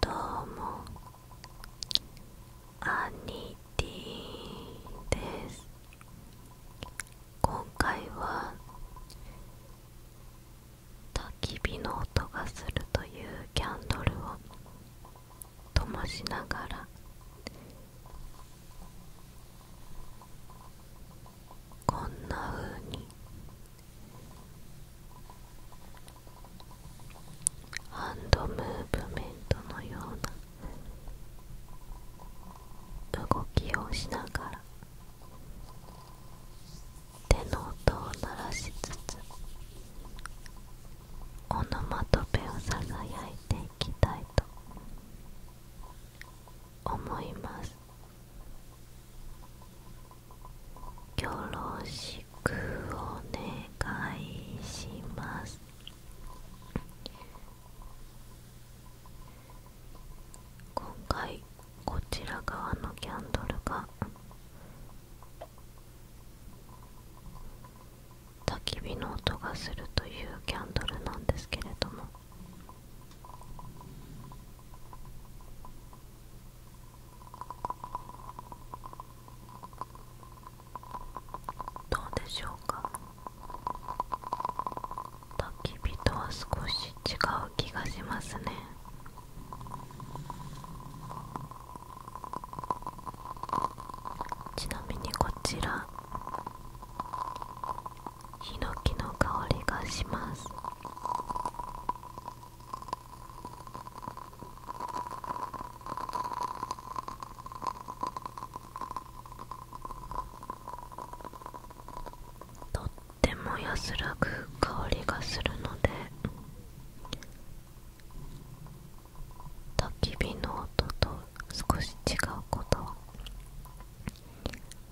どうもアニティです今回は焚き火の音がするというキャンドルをともしながらこんな風にハンドムーブメントのような動きをしながら手の音を鳴らしつつオノマトペをさいていきたいと思いますよろしくお願いします今回こちら側のキャンドルが焚き火の音がするというキャンドルなんですけれどもどうでしょうか焚き火とは少し違う気がしますねちなみにこちらヒノキの香りがしますとっても安らぐ香りがするので焚き火の音と少し違うこと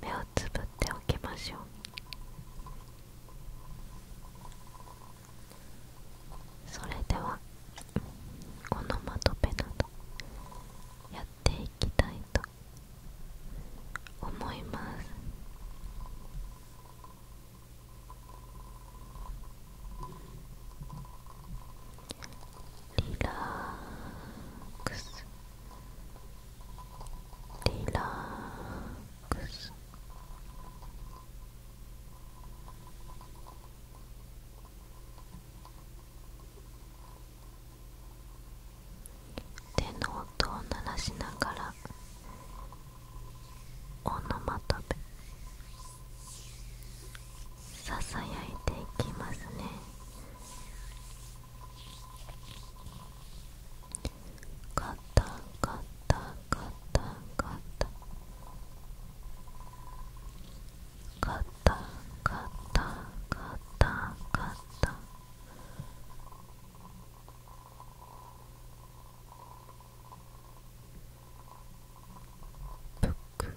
目をつぶっておきましょうそれではこのまとめなどやっていきたいと思いますリラックスリラックス手の音を鳴らしながらオノマトペささやいていきますねカタカタカタカタカタカタカタカタブク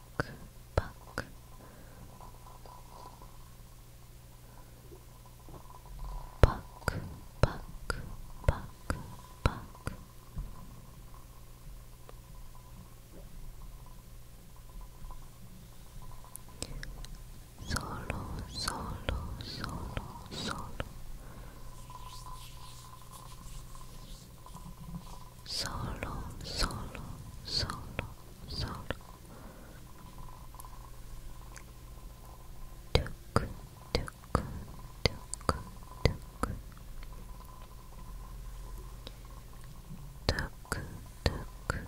Buck, buck. Buck, buck, buck, Solo, solo, solo, solo solo, solo, solo, solo. Tuk, tuk, tuk, tuk. Tuk, tuk, tuk, tuk.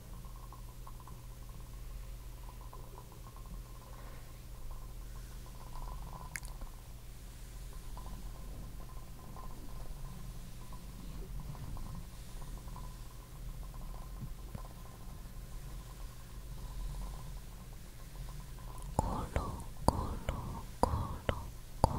コロコロコロコロ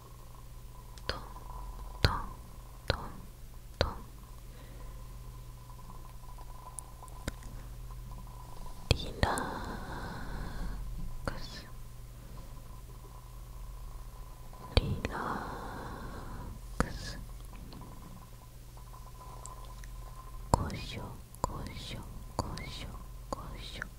トントントントンリラックスリラックスこしょこしょこしょ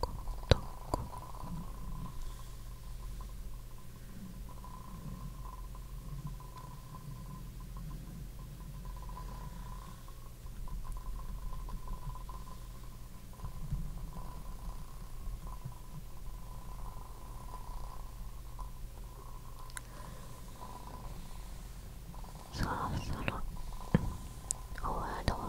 ことそろそろ終わろ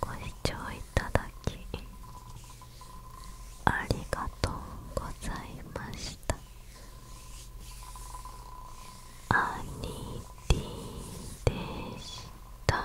ご視聴いただきありがとうございました兄貴でした